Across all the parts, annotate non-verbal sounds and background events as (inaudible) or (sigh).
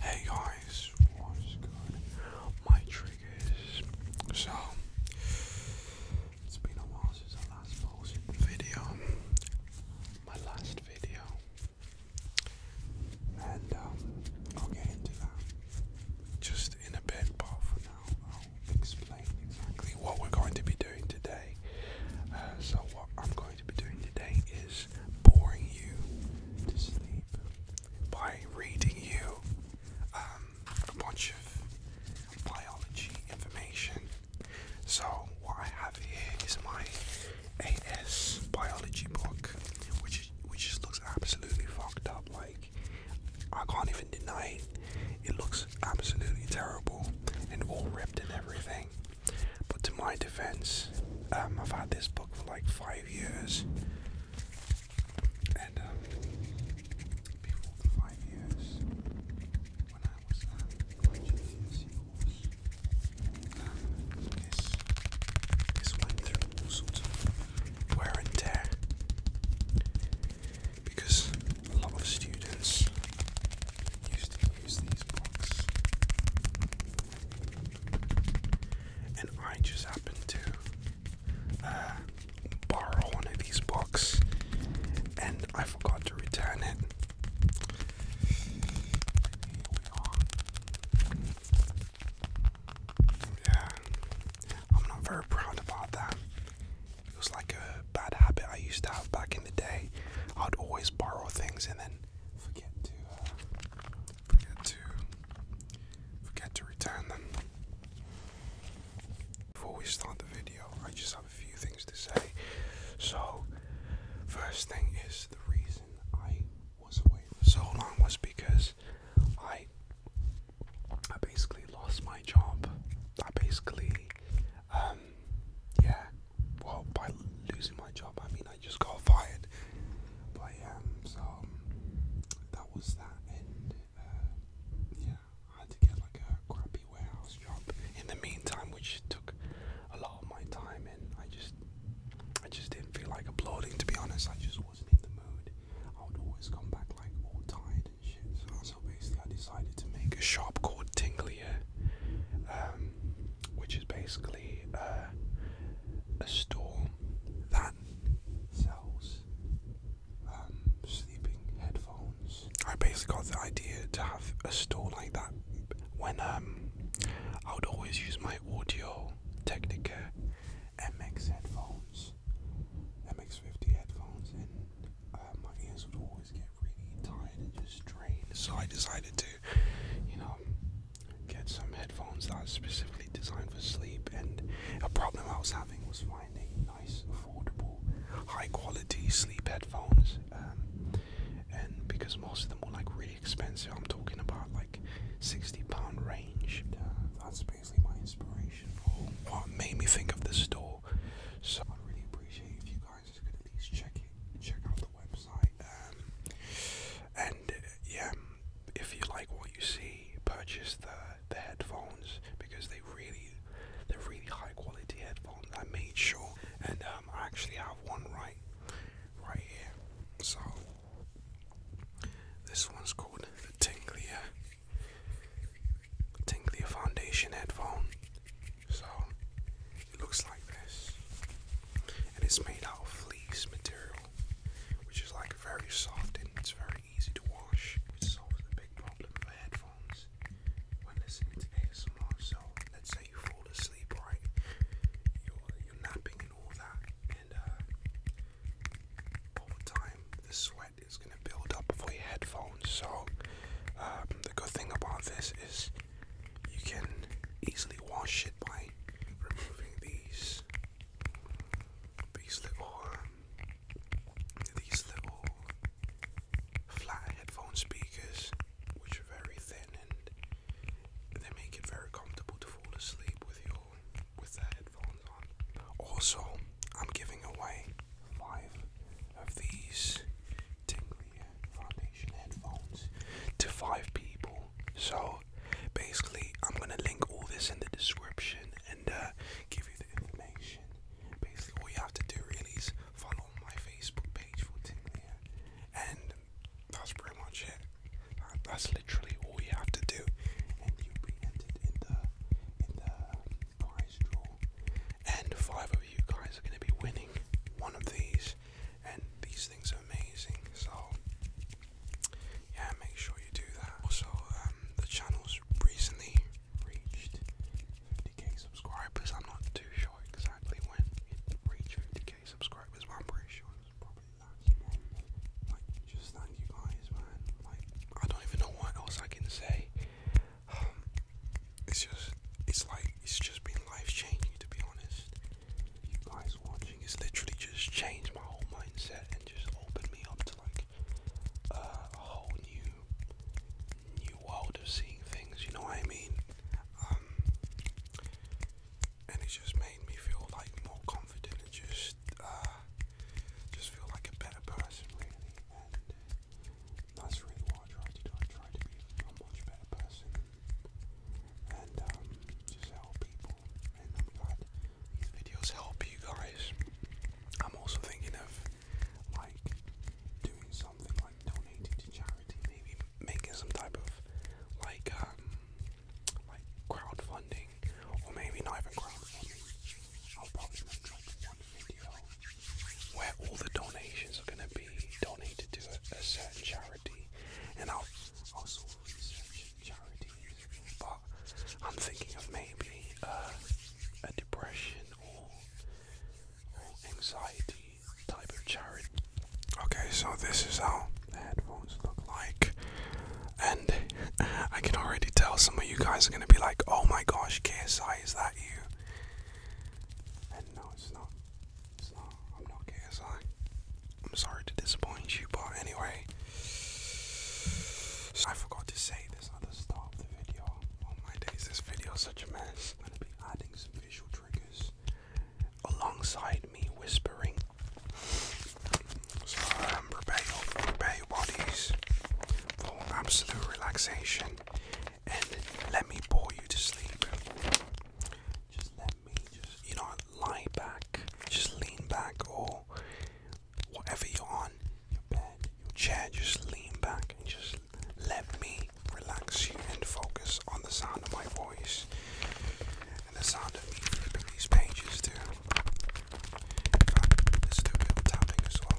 Hey guys, what's good? My triggers. So, it's been a while since I last video. My last video. And um, I'll get into that just in a bit, but for now I'll explain exactly what we're going to be doing today. Uh, so, what I'm going to be doing today is boring you to sleep by reading you um, a bunch of biology information. So, what I have here is my AS biology book, which which looks absolutely fucked up. Like I can't even deny it. It looks absolutely terrible and all ripped and everything. But to my defense, um, I've had this book for like five years, and um, before five years, when I was at my GCSE this this went through all sorts of wear and tear because a lot of students used to use these books and I just happened to uh, borrow one of these books, and I forgot to return it. Yeah, I'm not very proud about that. It was like a bad habit I used to have back in the day. I'd always borrow things and then forget to uh, forget to forget to return them. Before we start the video, I just have a few things to say. So, first thing is the reason I was away for so long was because I I basically lost my job. I basically um, yeah well, by losing my job, I mean I just got fired. But yeah, um, so um, that was that, and uh, yeah, I had to get like a crappy warehouse job in the meantime, which took a lot of my time, and I just, I just didn't feel like uploading. To be honest, I just wasn't in the mood. I would always come back like all tired and shit. So, basically, I decided to make a shop called Tinglier. Um, um, which is basically uh, a store that sells um, sleeping headphones. I basically got the idea to have a store like that when um, I would always use my Audio Technica MX headphones, MX50 headphones, and uh, my ears would always get really tired and just drained. So I decided to you know, get some headphones that are specifically designed for sleep. And a problem I was having was finding nice, affordable, high quality sleep headphones. Um, and because most of them were like really expensive, I'm talking about like 60 pound range. Uh, that's basically my inspiration for what made me think of this store. So I really appreciate you guys guys is gonna please check it, check out the website. Um, and yeah, if you like what you see, purchase the the headphones because they are really, they're really high quality headphones. I made sure, and um, I actually have one right, right here. So this one's called the Tinklier. Tinklier Foundation headphone. So it looks like this. And it's made out of fleece material, which is like very soft and it's very easy to wash, which solves the big problem for headphones when listening to ASMR. So let's say you fall asleep, right? You're, you're napping and all that, and uh, over time the sweat is gonna build up for your headphones. So um, the good thing about this is you can easily wash it by removing these these little um, these little flat headphone speakers which are very thin and they make it very comfortable to fall asleep with your with the headphones on. Also, I'm giving away five of these tingly headphones to five people. So basically, I'm gonna link all this in the description and uh, give you the information. Basically, all you have to do really is follow my Facebook page for Timia, and that's pretty much it. that's literally all you have to do, and you'll be entered in the in the prize draw. And five of you guys are gonna be winning one of these and these things are amazing so yeah make sure you do that also um, the channel's recently reached 50k subscribers I'm not too sure exactly when it reached 50k subscribers but I'm pretty sure it was probably last month like just thank you guys man like I don't even know what else I can say um, it's just it's like it's just been life changing to be honest you guys watching has literally just changed my whole mindset and just opened me up to like uh, a whole new new world of seeing things. You know what I mean? Um, and it just made me feel like more confident and just uh, just feel like a better person, really. And that's really what I try to do. I try to be a much better person and um, just help people. And I'm glad these videos help you guys. I'm also thinking of like doing something like donating to charity, maybe making some type of like um like crowdfunding, or maybe not even crowdfunding. I'll probably make like one video where all the donations are gonna be donated to a certain charity and i also research But I'm thinking of maybe uh, a depression or or anxiety type of charity. Okay, so this is how the headphones look like, and (laughs) I can already tell some of you guys are gonna be like, "Oh my gosh, KSI, is that you?" And no, it's not. I'm not KSI. I'm sorry to disappoint you, but anyway, I forgot to say this at the start of the video. Oh my days, this video is such a mess. I'm gonna be adding some visual triggers alongside me whispering. So um, prepare prepare bodies for absolute relaxation, and let me bore you to sleep. Just let you know lie back, just lean back or whatever you're on, your bed, your chair, just lean back and just let me relax you and focus on the sound of my voice and the sound of me flipping these pages too. Let's do a bit of tapping as well.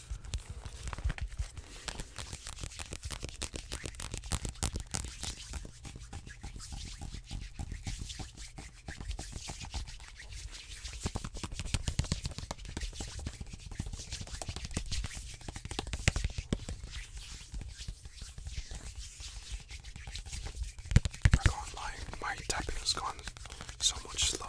I can't my tapping has gone so much slower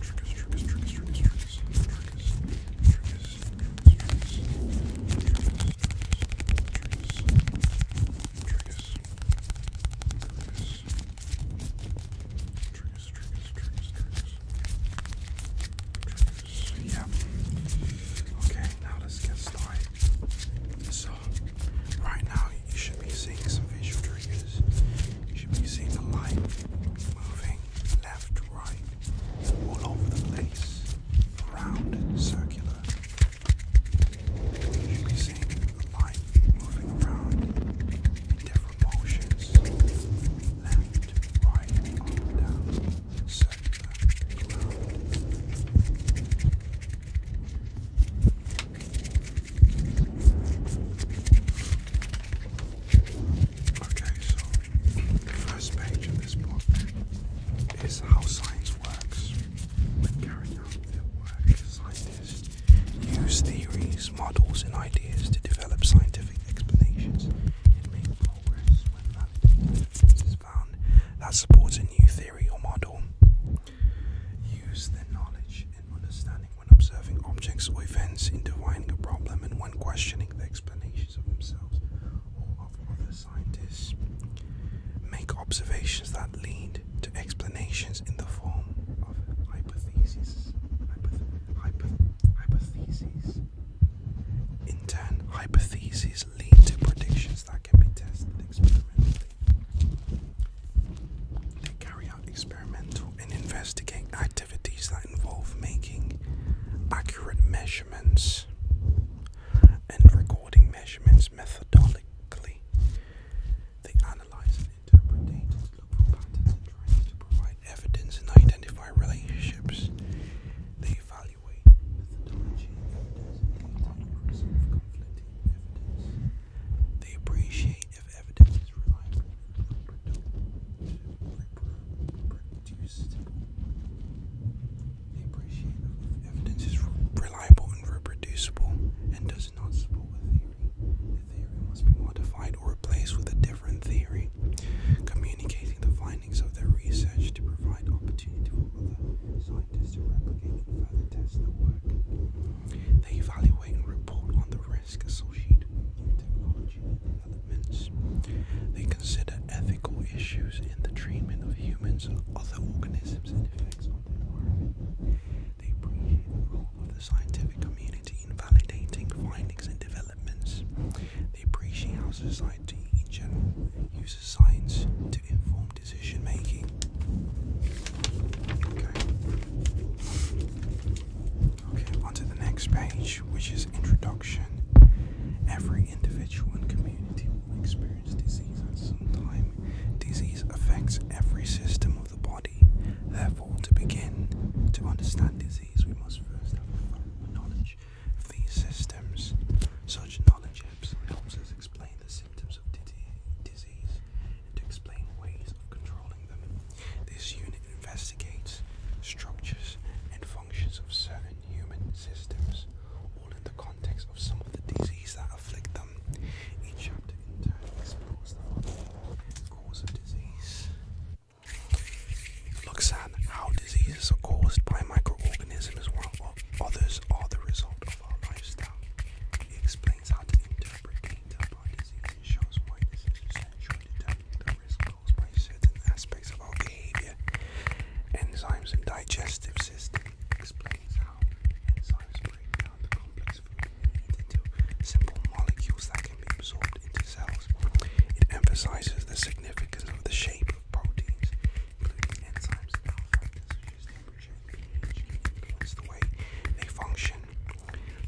Triggers, triggers, triggers, triggers, triggers, triggers, triggers, triggers, triggers, triggers, triggers, triggers, triggers, triggers, triggers, triggers. Yeah. Okay, now let's get started. So, right now you should be seeing some visual triggers. You should be seeing the light moving left, right, all over the place, round, circular. You should be seeing the light moving around in different motions, left, right, up and down, circular, round. Okay, so the first page of this book is how science works. When carrying out their work, scientists use theories, models, and ideas to develop scientific explanations and make progress when that found that supports a new theory or model. Use their knowledge knowledge understanding when observing objects or events in defining a problem and when questioning the explanations of themselves or other scientists. Make observations that lead to explanations in the form of hypotheses. hypotheses. In turn, hypotheses lead to predictions that can be tested experimentally. They carry out experimental and investigate actions activities that involve making accurate measurements and recording measurements methodologically. They analyze and interpret data patterns and to provide evidence and identify relationships. They evaluate They appreciate if evidence is reliable and reproducible and does not support a theory. The theory must be modified or replaced with a different theory, communicating the findings of their research to provide opportunity for other scientists to replicate and test their work. They evaluate and report on the risk associated They consider ethical issues in the treatment of humans and other organisms They appreciate the role of the scientific community in validating findings and developments. They appreciate how society in general uses science to inform decision making. Okay, on to the next page, which is introduction. Every individual and community will experience disease at some time. Disease affects every system of the body. Therefore, to begin to understand disease, we must first have knowledge of these systems. Such knowledge helps us explain the symptoms of disease and to explain ways of controlling them. This unit investigates structures and functions of certain human systems, all in the context of some of the diseases that afflict them. Each chapter in turn explores the cause of disease. It looks at how diseases are caused by microorganisms while others are the result of our lifestyle. It explains how to interpret data by disease it shows what is essentially determining the risk caused by certain aspects of our behavior. Enzymes and digestive system explains how enzymes break down the complex food into simple molecules that can be absorbed into cells. It emphasizes the significance of the shape of proteins, including enzymes and other factors such as the way they function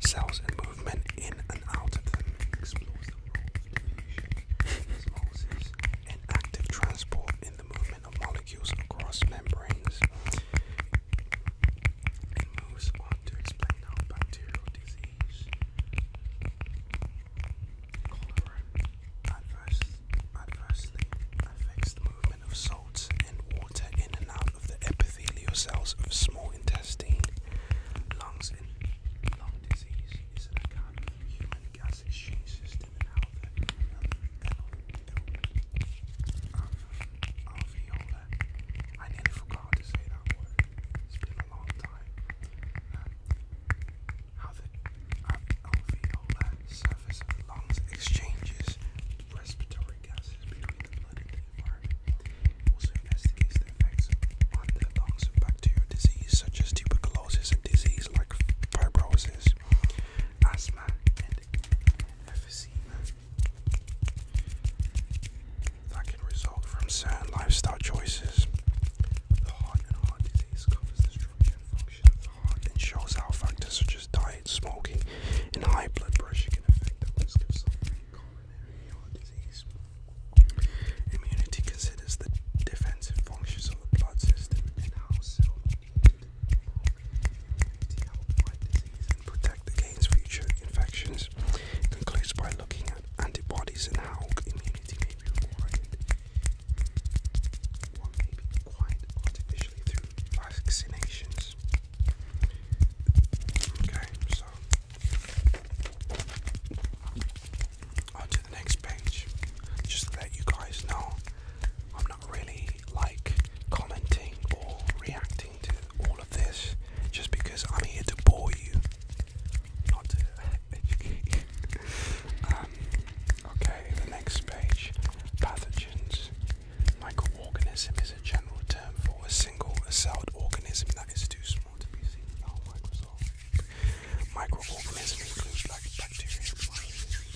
cells and movement in and out of them, explores the role of diffusion, osmosis, and active transport in the movement of molecules across membranes. moves on to explain how bacterial disease, cholera, adversely affects the movement of salts and water in and out of the epithelial cells of small intestine lungs, and lung disease is an account of human gas exchange system and how the um, I nearly forgot to say that word. It's been a long time. Uh, how the um, surface lungs exchanges respiratory gases between the blood environment. Also investigates the effects on the lungs of bacterial disease such as tuberculosis and disease like fibrosis, asthma, and emphysema that can result from certain lifestyle choices. The heart and heart disease covers the structure and function of the heart and shows how factors such as diet, smoking, and high blood pressure can affect the risk of suffering Immunity considers the defensive functions of the blood system and how cell immunity help against future infections. It concludes by looking at antibodies and how immunity may be required. One may be acquired artificially through vaccinations. Okay, so on the next page. Just let you guys know, I'm not really like commenting or reacting to all of this just because I'm here to bore you, not (laughs) um, okay, the next page pathogens. Microorganism is a general term for a single celled organism that is too small Microorganisms include like bacteria and viruses.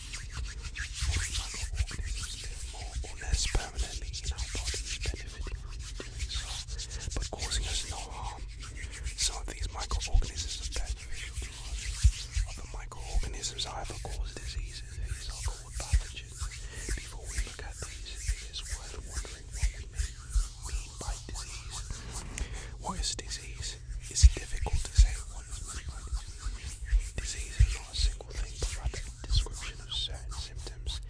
microorganisms live more or less permanently in our bodies, benefiting us doing so, but causing us no harm. Some of these microorganisms are beneficial to us. Other microorganisms either cause diseases, these are called pathogens. Before we look at these, it is worth wondering what we mean mean by disease? What is disease? It's difficult to say what is meant disease. is not a single thing, but rather a description of certain symptoms,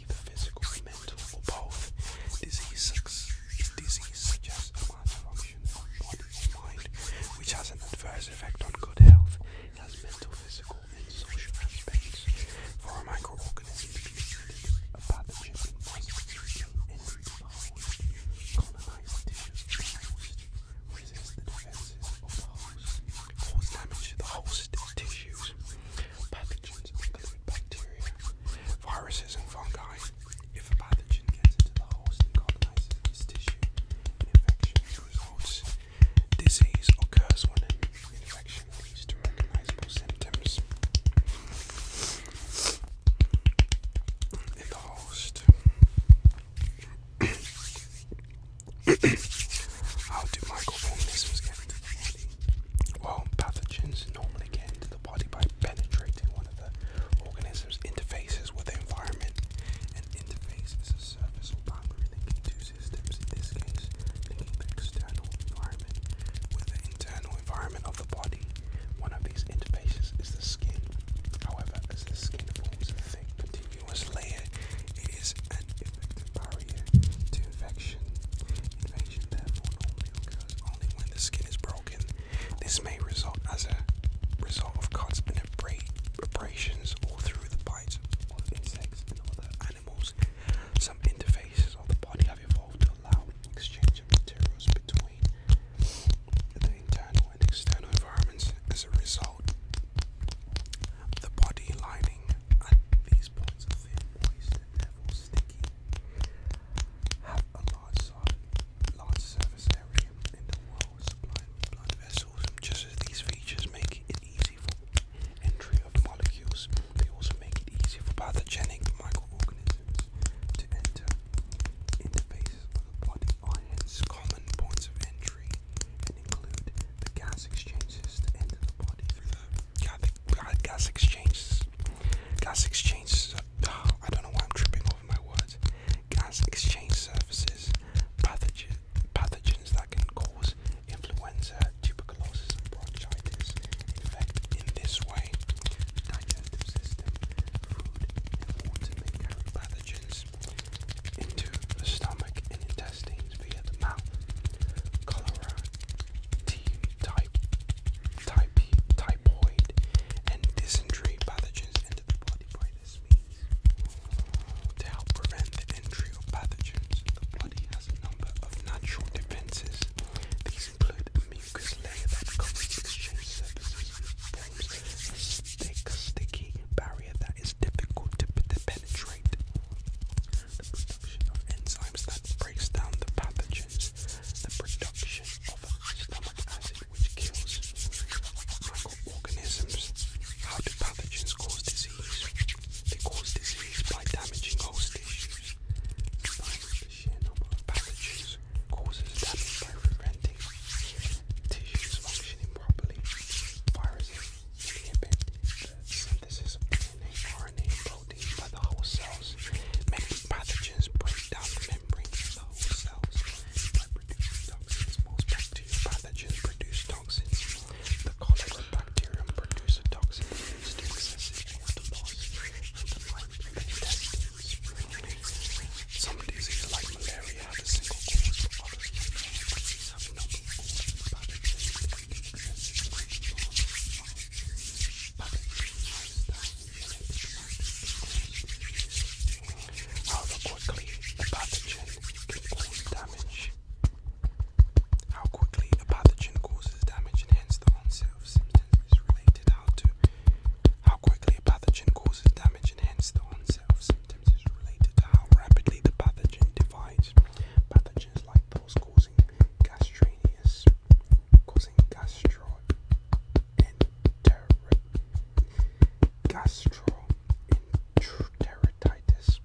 either physical, mental, or both. Disease is disease such a malfunction of body or mind, which has an adverse effect on good health. It has mental, physical, and social aspects for a microorganism to contribute a pathogen must colonize tissues, resist the defenses of the host, cause damage to the host tissues. Pathogens include bacteria, viruses, and fungi. If a pathogen gets into the host and colonizes this tissue, an infection results. Disease occurs when an infection leads to recognizable symptoms in the host. (coughs) How do microorganisms get into the body? Well, pathogens normally get into the body by penetrating one of the organism's interfaces with the environment. An interface a surface or boundary this case, the external environment with the internal environment of the body. One of these interfaces is the skin. However, as the skin forms a thick, continuous layer, it is an effective barrier to infection. Invasion therefore normally occurs only when the skin is broken. This may result as a result of cuts and abrasions all through the bites of insects and other animals some interfaces of the body have evolved to allow exchange of materials between the internal and external environments. As a result, the body lining at these points are thin, moist, and therefore sticky. Have a large, surface area in the world supplied blood vessels, just as these features make it easy entry of molecules. They also make it easy for pathogenic microorganisms to enter interfaces of the body common points of entry include the gas exchanges to enter the body through the uh, gas exchanges. Gas exchanges, uh, I don't know why I'm tripping over my words. Gas exchange surfaces, pathogens that can cause influenza, tuberculosis, and bronchitis. Infect in this way digestive system, food, and water pathogens into the stomach and intestines via the mouth. Cholera, T type, type, typhoid, and dysentery pathogens into the body by this means. To help prevent the entry of pathogens, the body has a number of natural defenses these include a mucus layer that covers exchange surfaces a thick, sticky barrier that is difficult to penetrate. The production of enzymes that breaks down the pathogens, the production of stomach acid microorganisms. How do pathogens cause disease? They cause disease by damaging host tissues the sheer number of pathogens, causes damage by preventing tissues functioning properly. Viruses inhibit the synthesis of DNA, RNA, and protein by the whole cells. Many pathogens break down membranes of the whole cells by producing toxins. Most bacterial pathogens produce toxins. The cholera bacterium produces a toxin used to some diseases like malaria have a single cause, but others have a number of causes. Pathogens including excessive secretion of pathogens, lifestyle, and epigenetic However quickly a pathogen can cause damage how quickly a pathogen causes damage and hence the onset of symptoms is related to how quickly a pathogen causes damage and hence the onset of symptoms is related to how rapidly the pathogen divides. Pathogens like those causing gastraneous causing gastroenter gastroenteritis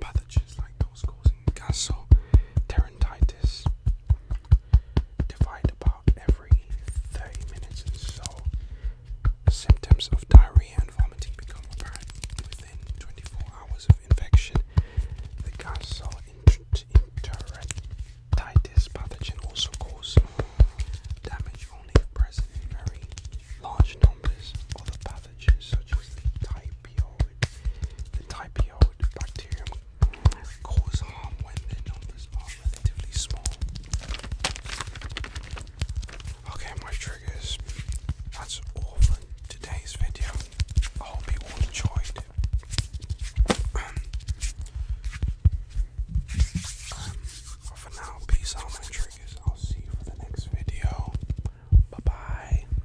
pathogens like those causing gaso Terentitis. Divide about every 30 minutes and so. Symptoms of diarrhea and vomiting become apparent within 24 hours of infection. The gastroenteritis pathogen also causes damage only present in very large numbers, of the pathogen such as the typhoid, the typhoid bacterium cause harm when their numbers are relatively small. Okay, my triggers. That's all for today's video. I hope you all enjoyed. Um, for now, peace out, my triggers. I'll see you for the next video. Bye bye.